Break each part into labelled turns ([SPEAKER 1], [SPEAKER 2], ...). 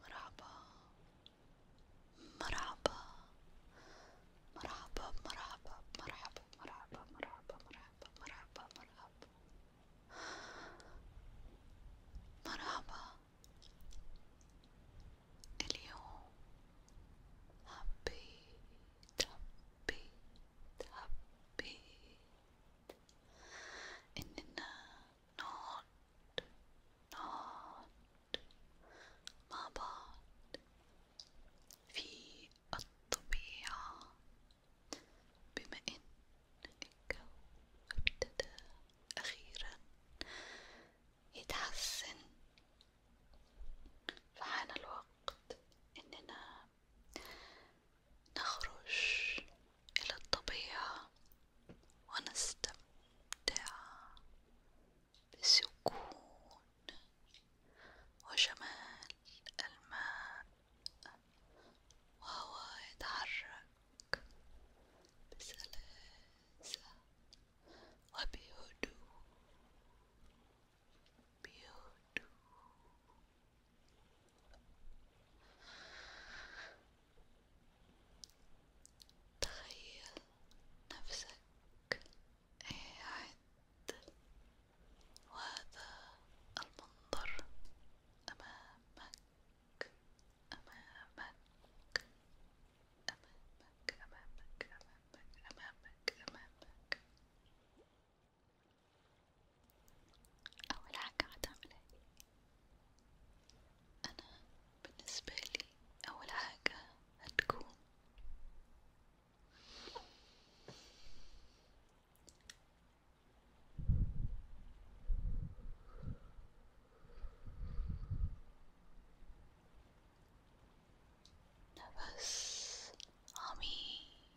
[SPEAKER 1] مرحبا مرحبا مرحبا مرحبا مرحبا مرحبا مرحبا مرحبا مرحبا مرحبا مرحبا اليوم حبيت حبيت حبيت إننا نقعد نقعد مع بعض في الطبيعة بما إن الجو ابتدى أخيرا يتحسن فحان الوقت إننا نخرج إلى الطبيعة ونستمتع بسكون وجمال الماء وهو يتحرك بسلاسة وبهدوء beautiful. تخيل نفسك قاعد وهذا المنظر أمامك أمامك أمامك أمامك أمامك أمامك أمامك أول حاجة هتعملها أنا بالنسبة لي أول حاجة هتكون نفس عميق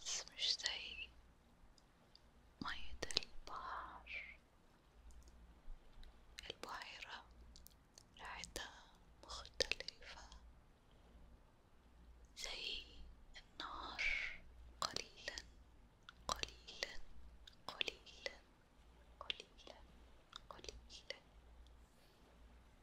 [SPEAKER 1] بس مش زي مية البحر البحيرة ريحتها مختلفة زي النار قليلا قليلا قليلا قليلا قليلا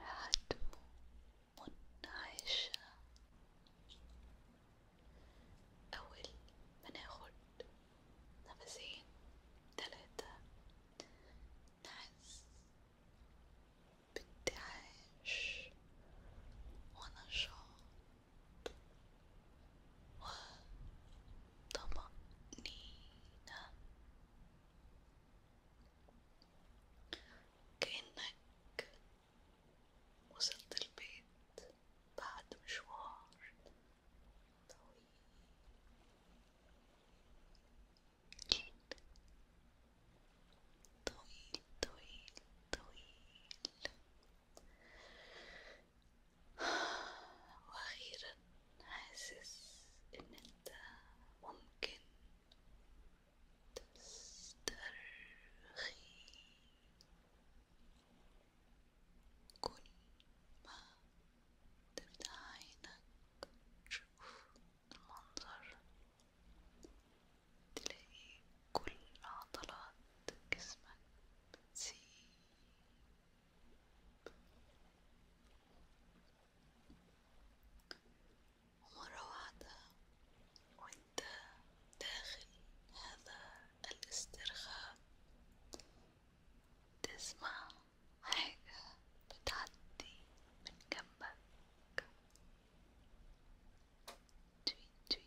[SPEAKER 1] رهتم منعشة أول ما ناخد نفسين تلاتة نحس بانتعاش ونشاط وطمأنينة كأنك وصلت البيت بعد مشوار طويل طويل طويل طويل واخيرا حاسس ان انت ممكن تسترخي كل ما تفتح عينك تشوف المنظر تلاقي كل عضلات جسمك بتسيب ومرة واحدة وانت داخل هذا الاسترخاء تسمع حاجة بتعدي من جنبك تويت تويت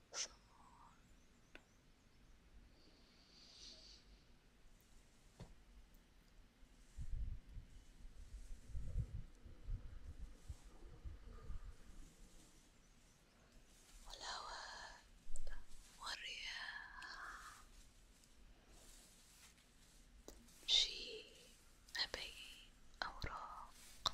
[SPEAKER 1] someone والهواء والرياح شيء مبين أوراق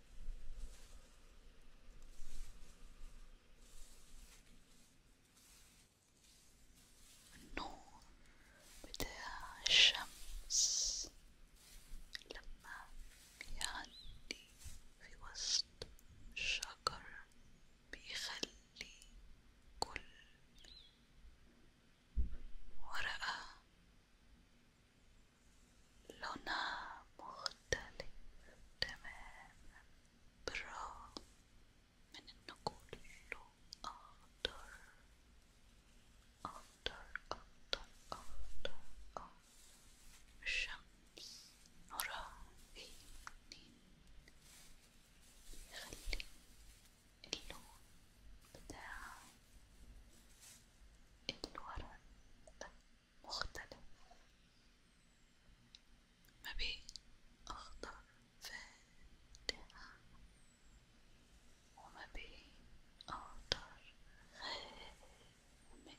[SPEAKER 1] النور بتاع الشمس لما بيعدي في وسط الشجر بيخلي كل ورقة لونها مختلف تماما بالرغم من إنه كله أخضر أخضر أخضر أخضر أخضر الشمس نورها في الاتنين بيخلي اللون بتاع الورق مختلف ما بين أخضر فاتح وما بين أخضر غامق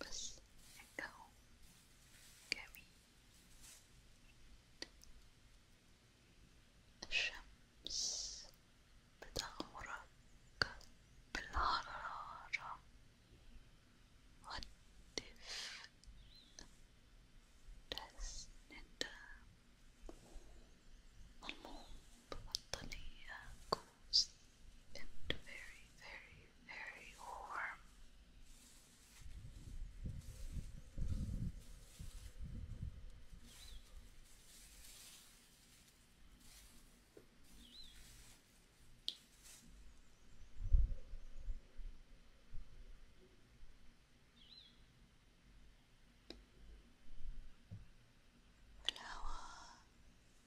[SPEAKER 1] بس الجو جميل الشمس بتغمرك بالحرارة والدفء تحس إن أنت ملموم ببطانية comes and very, very, very warm. Flower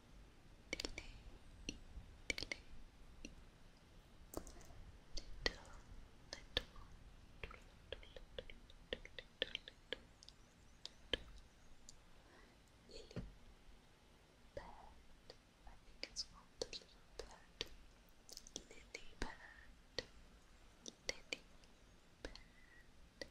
[SPEAKER 1] think it's called the little bird. Lily bird. Lily bird. Lily bird. Lily bird.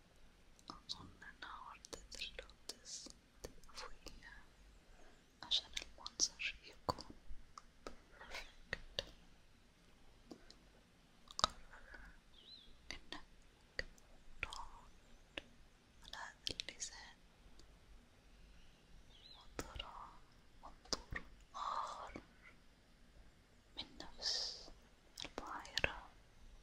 [SPEAKER 1] أظن أن وردة اللوتس تقفويها عشان المنظر يكون perfect قرر إنك تقعد على هذا اللسان وترى منظور آخر من نفس البحيرة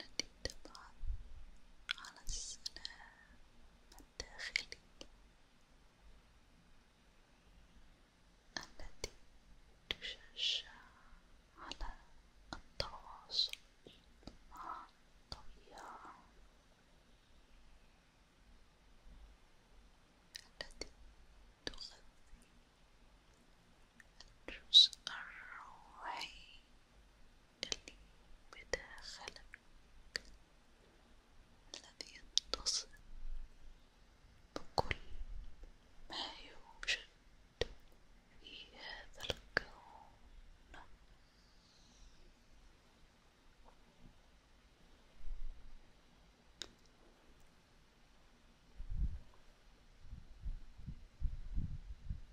[SPEAKER 1] التي تطعم على السلام الداخلي التي تشجع على التواصل مع الطبيعة التي تغذي الجزء الروحي اللي بداخلك الذي يتصل بكل ما يوجد في هذا الكون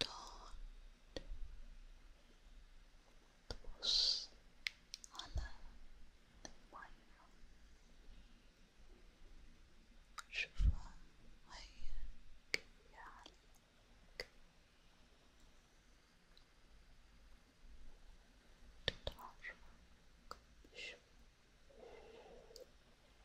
[SPEAKER 1] تقعد تبص على المية شوفها هي كيف يعلق تتحرك بشوية